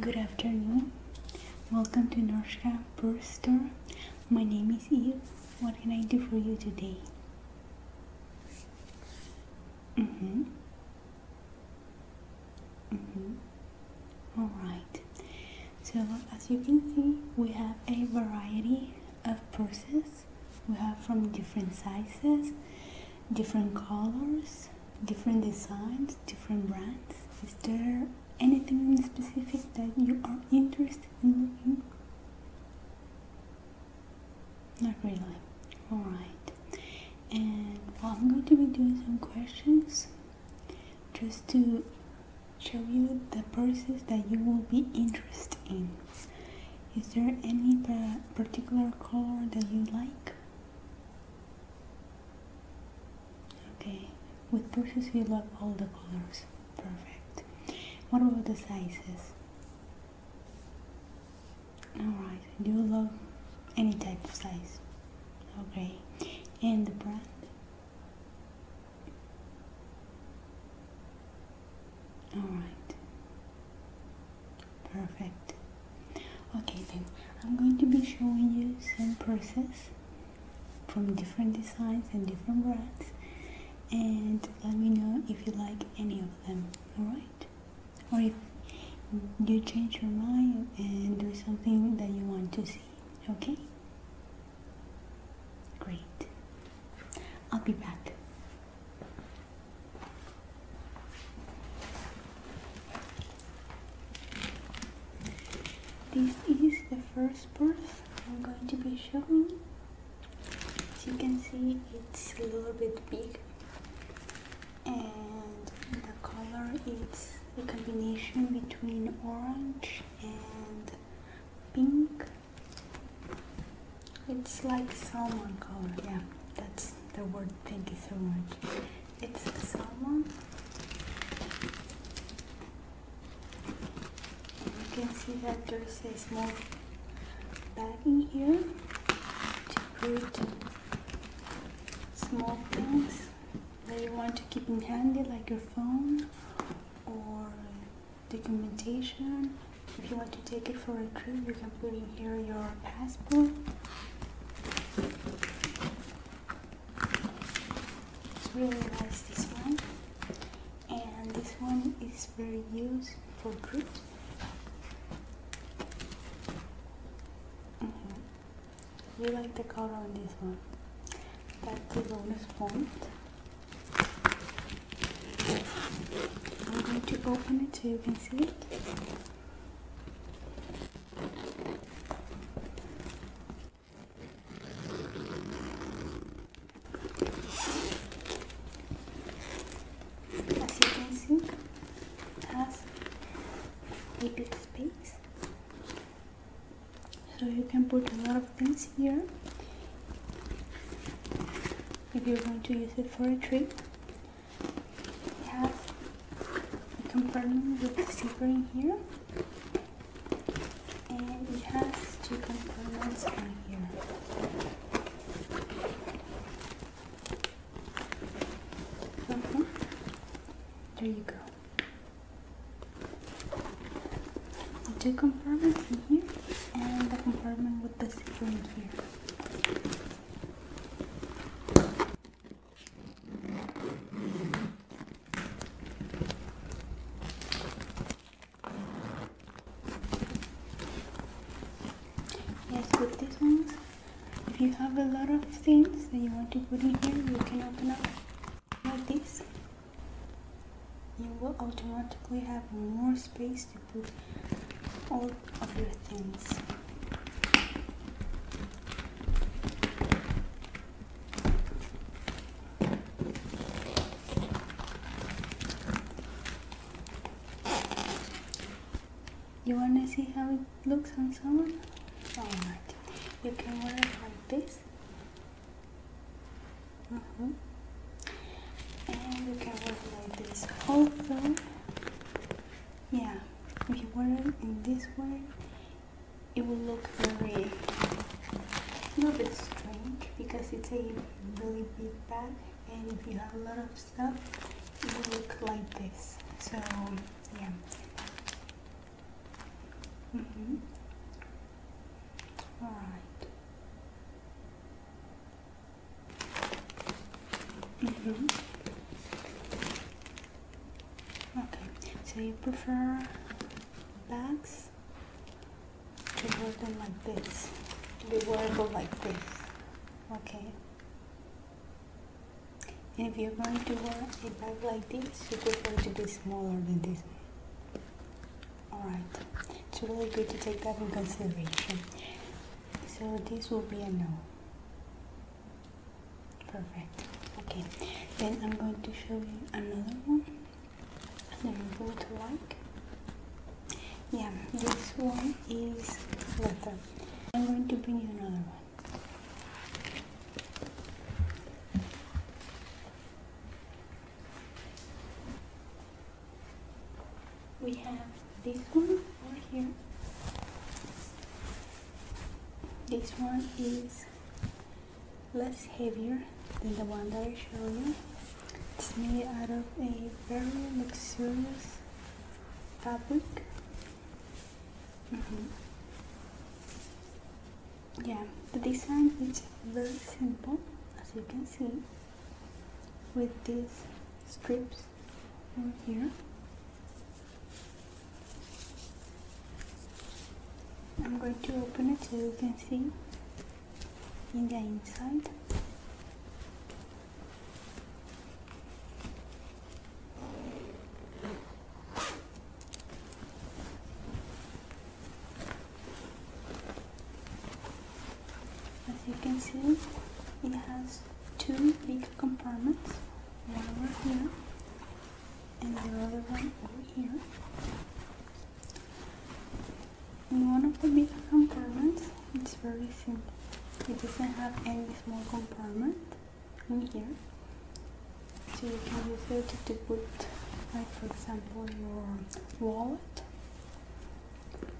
Good afternoon. Welcome to Norshka Purse Store. My name is Eve. What can I do for you today? Mm-hmm. Mm-hmm. All right. So as you can see, we have a variety of purses we have from different sizes different colors different designs different brands is there anything in specific that you are interested in looking not really all right and i'm going to be doing some questions just to show you the purses that you will be interested in. Is there any particular color that you like? Okay, with purses you love all the colors. Perfect. What about the sizes? Alright, you love any type of size. Okay, and the brand? All right. Perfect. Okay, then I'm going to be showing you some purses from different designs and different brands and let me know if you like any of them alright or if you change your mind and do something that you want to see okay Great. I'll be back. This is the first purse I'm going to be showing you. As you can see, it's a little bit big and the color is a combination between orange and pink it's like salmon color, yeah, that's the word Thank you so much. It's salmon. you can see that there's a small bag in here to put small things that you want to keep in handy like your phone or documentation. If you want to take it for a trip, you can put in here your passport. It's really nice this one. And this one is very used for groups. You mm-hmm. like the color on this one. That's the bonus point. I'm going to open it so you can see it. As you can see, it has a bit of space so you can put a lot of things here if you're going to use it for a trip it has a compartment with a zipper in here and it has two compartments in here uh-huh. there you go the two compartments in here and the compartment with the zip in here. Yes, put these ones, if you have a lot of things that you want to put in here, you can open up like this you will automatically have more space to put all of your things. You wanna see how it looks on someone? Alright, you can wear it like this Mm-hmm. And you can work like this whole through. Yeah, if you wear it in this way, it will look very a little bit strange because it's a really big bag, and if you have a lot of stuff, it will look like this. So yeah. Mm -hmm. All right. Mm-hmm. Okay, so you prefer bags? to hold them like this, to be wearable like this, okay? And if you're going to wear a bag like this, you prefer to be smaller than this all right it's really good to take that in consideration so this will be a no perfect okay then i'm going to show you another one and then go to like yeah this one is leather i'm going to bring you another one we have this one over here. This one is less heavier than the one that I showed you. It's made out of a very luxurious fabric. Mm-hmm. Yeah, the design is very simple as you can see with these strips over here I'm going to open it so you can see in the inside as you can see, it has two big compartments, one over here and the other one over here. In one of the big compartments, it's very simple. It doesn't have any small compartment in here. So you can use it to put, like for example, your wallet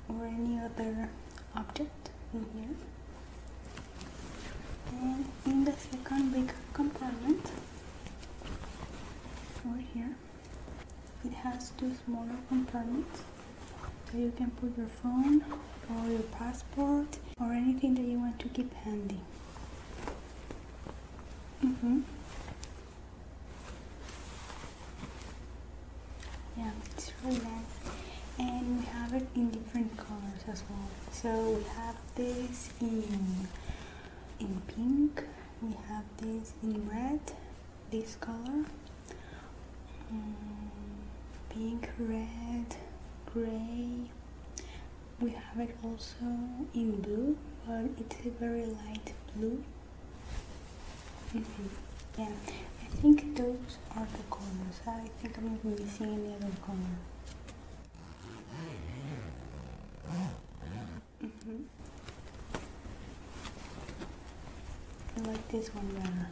or any other object in here. And in the second big compartment, over here, it has two smaller compartments so you can put your phone or your passport or anything that you want to keep handy. Mm -hmm yeah it's really nice and we have it in different colors as well so we have this in in pink we have this in red this color mm, pink red gray we have it also in blue but it's a very light blue Mm-hmm. Yeah, I think those are the corners. I think I'm not missing any other corner. -hmm. I like this one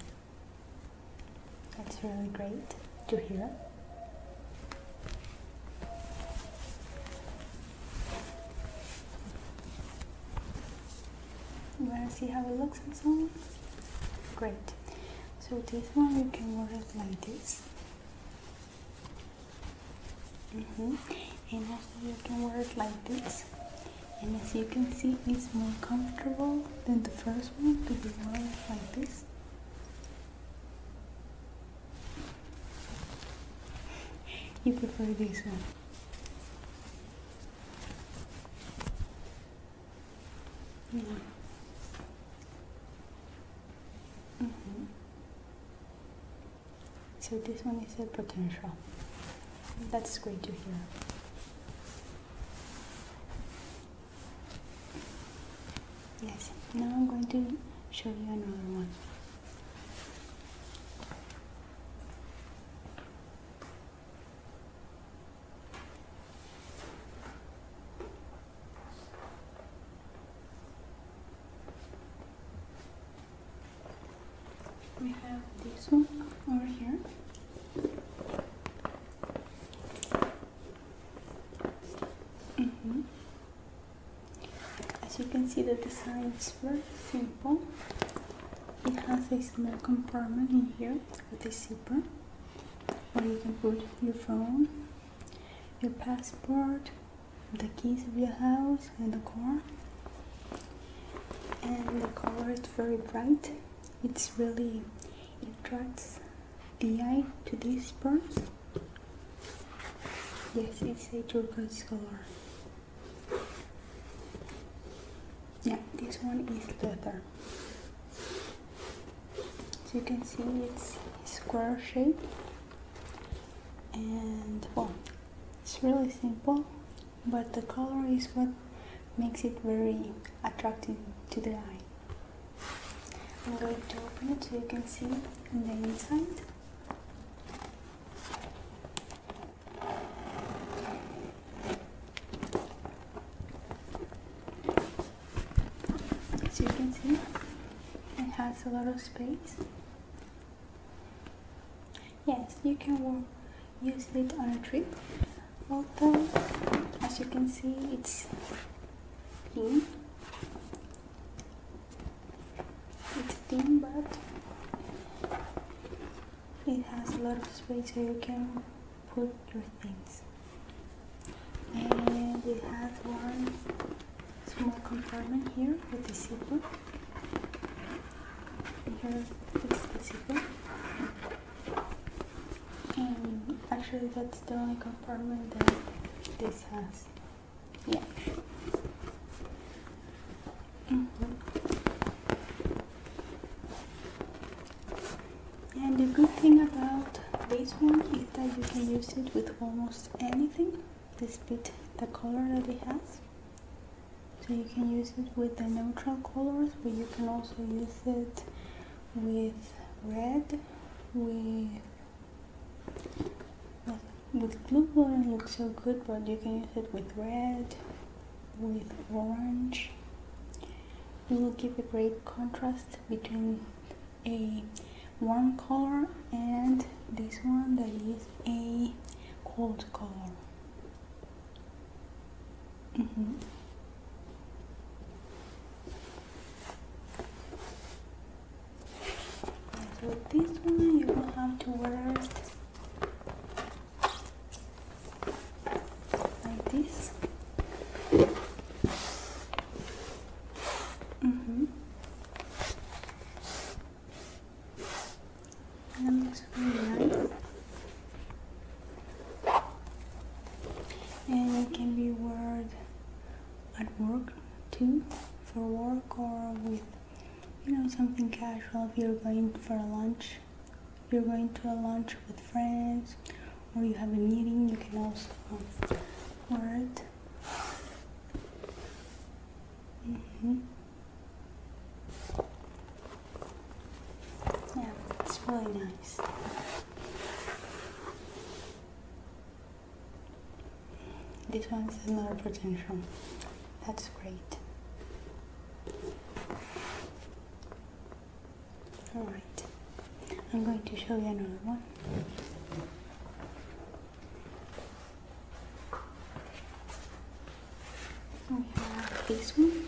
That's really great Do you hear. You want to see how it looks on Great. So this one you can wear it like this. Mm-hmm. And also you can wear it like this. And as you can see, it's more comfortable than the first one to be worn like this. You prefer this one. Mm-hmm. So this one is a potential. That's great to hear. Yes, now I'm going to show you another one. We have this one over here. Mm -hmm. As you can see the design is very simple. It has a small compartment in here with a zipper where you can put your phone, your passport, the keys of your house and the car. And the color is very bright. It's really, attracts the eye to these purse. Yes, it's a turquoise color. Yeah, this one is leather. As you can see, it's square shape, and well, it's really simple, but the color is what makes it very attractive to the eye. I'm going to open it so you can see on the inside. As you can see, it has a lot of space. Yes, you can use it on a trip. Also, as you can see, it's clean it's thin but it has a lot of space so you can put your things. And it has one small compartment here with a zipper. Here it's the zipper. And actually that's the only compartment that this has. Yeah. Mm-hmm. And the good thing about this one is that you can use it with almost anything. This bit, the color that it has. So you can use it with the neutral colors, but you can also use it with red, with with blue would looks so good but you can use it with red with orange it will give a great contrast between a warm color and this one that is a cold color mm so this one you will have to wear like this mm -hmm. that looks really nice and it can be worn at work too for work or with you know, something casual. If you're going for a lunch, you're going to a lunch with friends, or you have a meeting, you can also wear it. Mm-hmm. Yeah, it's really nice. This one is another potential. That's great. Alright, I'm going to show you another one. We have this one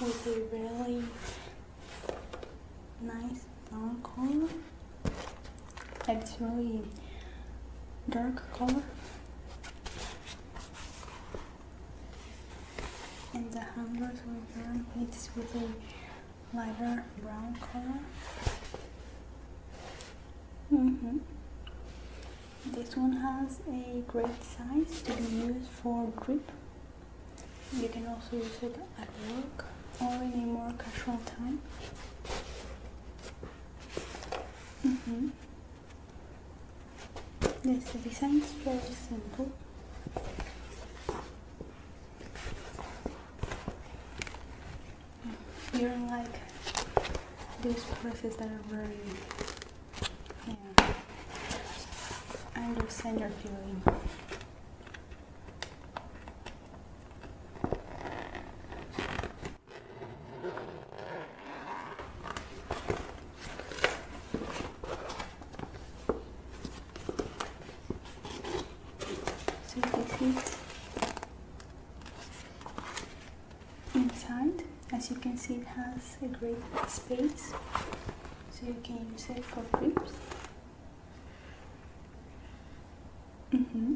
with a really nice long collar like really dark color and the hangers were it's with a lighter brown color mm-hmm. this one has a great size to be used for grip you can also use it at work or in a more casual time Mm-hmm. the design is very simple. You don't like these purses that are very. I understand your feeling. So this is inside. As you can see, it has a great space, so you can use it for grips. Mm -hmm.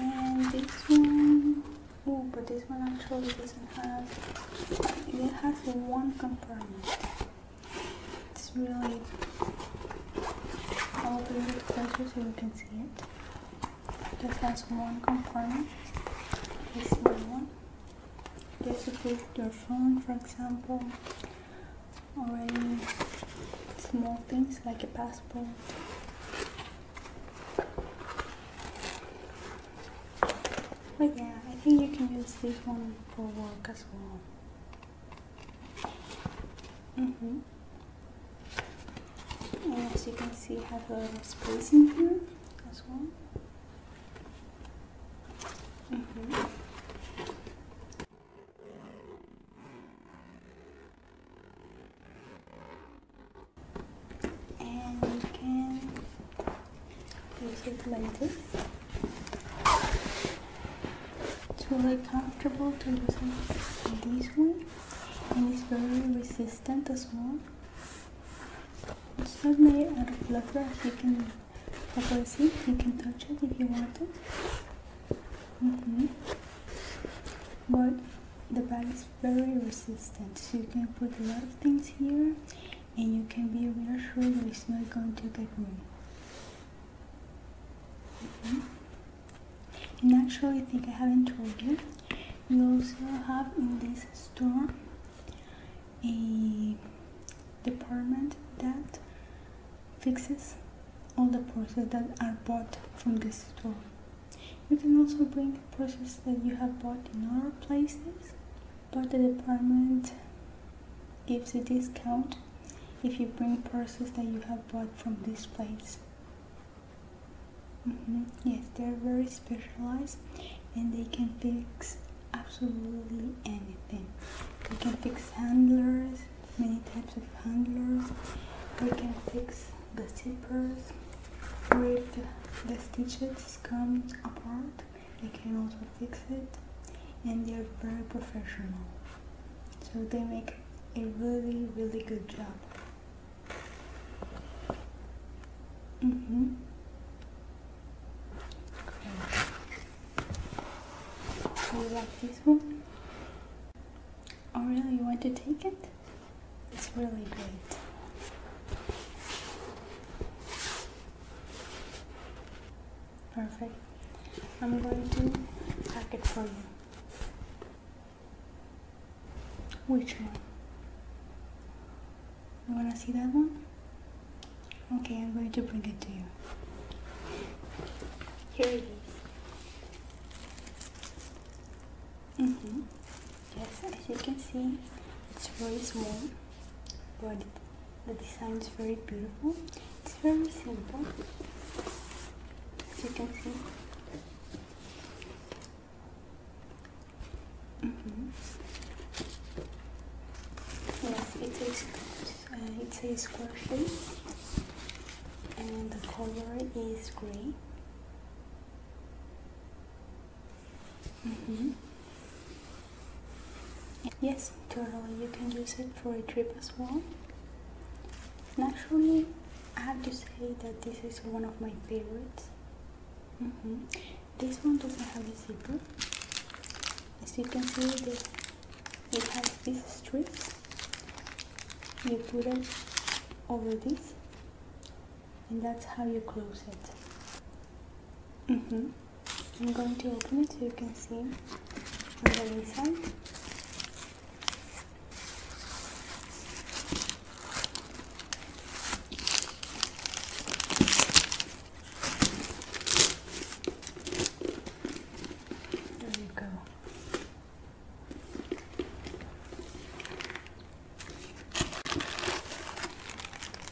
And this one, oh, but this one actually doesn't have, it has one compartment. It's really, I'll bring it closer so you can see it. This has one compartment, this one. Just is put your phone, for example, or any small things like a passport. But yeah, I think you can use this one for work as well. Mm-hmm. And as you can see, I have a lot space in here as well. Mm-hmm and you can use it like this it's really comfortable to use this one, and it's very resistant as well it's not made out of leather you can probably see you can touch it if you want it Mm-hmm. But the bag is very resistant, so you can put a lot of things here and you can be reassured that it's not going to get ruined. Mm And actually, I think I haven't told you, You also have in this store a department that fixes all the purses that are bought from the store. You can also bring purses that you have bought in other places, but the department gives a discount if you bring purses that you have bought from this place. Mm-hmm. Yes, they're very specialized and they can fix absolutely anything. They can fix handlers, many types of handlers. We can fix the zippers with the stitches come apart they can also fix it and they are very professional so they make a really really good job mm-hmm. Do you like this one? Oh, really? You want to take it? It's really great. Perfect. I'm going to pack it for you. Which one? You want to see that one? Okay, I'm going to bring it to you. Here it is. Mm -hmm. Yes, as you can see, it's very small, but the design is very beautiful. It's very simple, as you can see. Mm -hmm. Yes, it's a, uh, it's a and the color is gray. Mm -hmm. Yes, totally. You can use it for a trip as well. Naturally, I have to say that this is one of my favorites. Mm -hmm. This one doesn't have a zipper. As you can see, this, it has these strips you put it over this and that's how you close it mm-hmm. I'm going to open it so you can see on the inside There you go.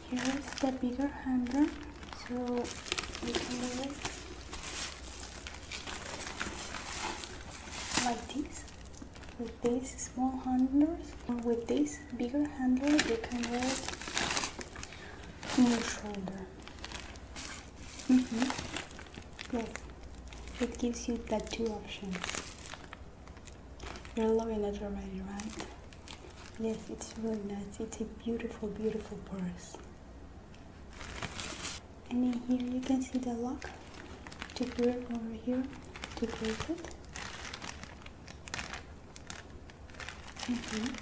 Here is the bigger handle, so we can do it like this. With these small handlers, with this bigger handle, you can wear it in your shoulder. Mm -hmm. Yes, it gives you the two options. You're loving it already, right? Yes, it's really nice. It's a beautiful, beautiful purse. And in here you can see the lock to put it over here to close it. Mm-hmm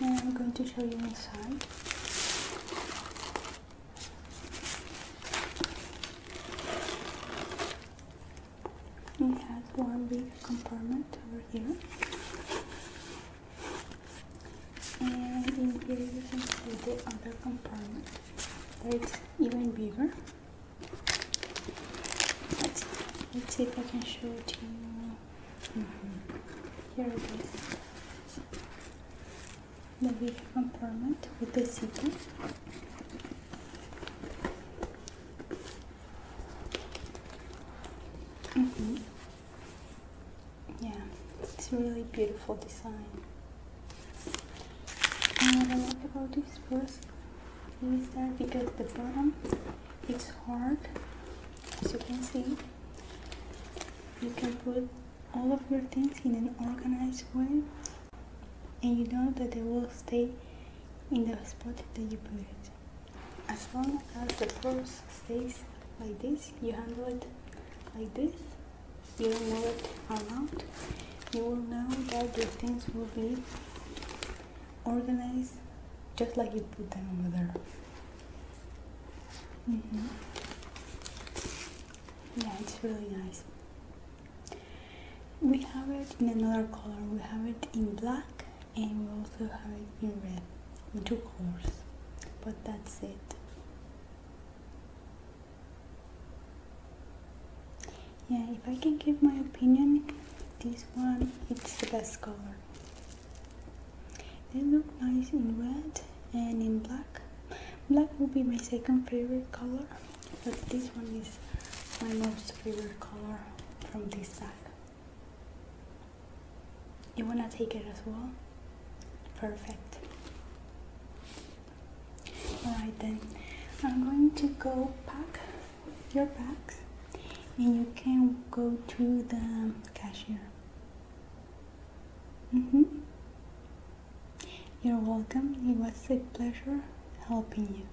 and I'm going to show you inside. It has one big compartment over here. And in you can see the other compartment. It's even bigger. let's see if I can show it to you Mm-hmm. Here it is. The big compartment with the zipper. Mm-hmm. Yeah, it's really beautiful design. And what I like about this purse is that because the bottom it's hard as you can see you can put all of your things in an organized way and you know that they will stay in the spot that you put it as long as the purse stays like this you handle it like this you don't move it around you will know that the things will be organized just like you put them over there Mm-hmm. Yeah, it's really nice. We have it in another color. We have it in black and we also have it in red, two colors. But that's it. Yeah, if I can give my opinion, this one it's the best color. They look nice in red and in black. Black will be my second favorite color, but this one is my most favorite color from this bag. You wanna take it as well? Perfect. Alright then, I'm going to go pack your bags and you can go to the cashier. Mm -hmm. You're welcome. It was a pleasure helping you.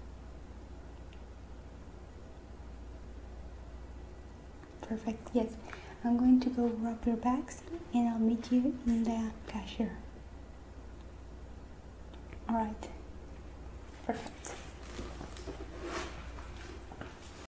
Perfect. Yes. I'm going to go wrap your bags and I'll meet you in the cashier. Alright. Perfect.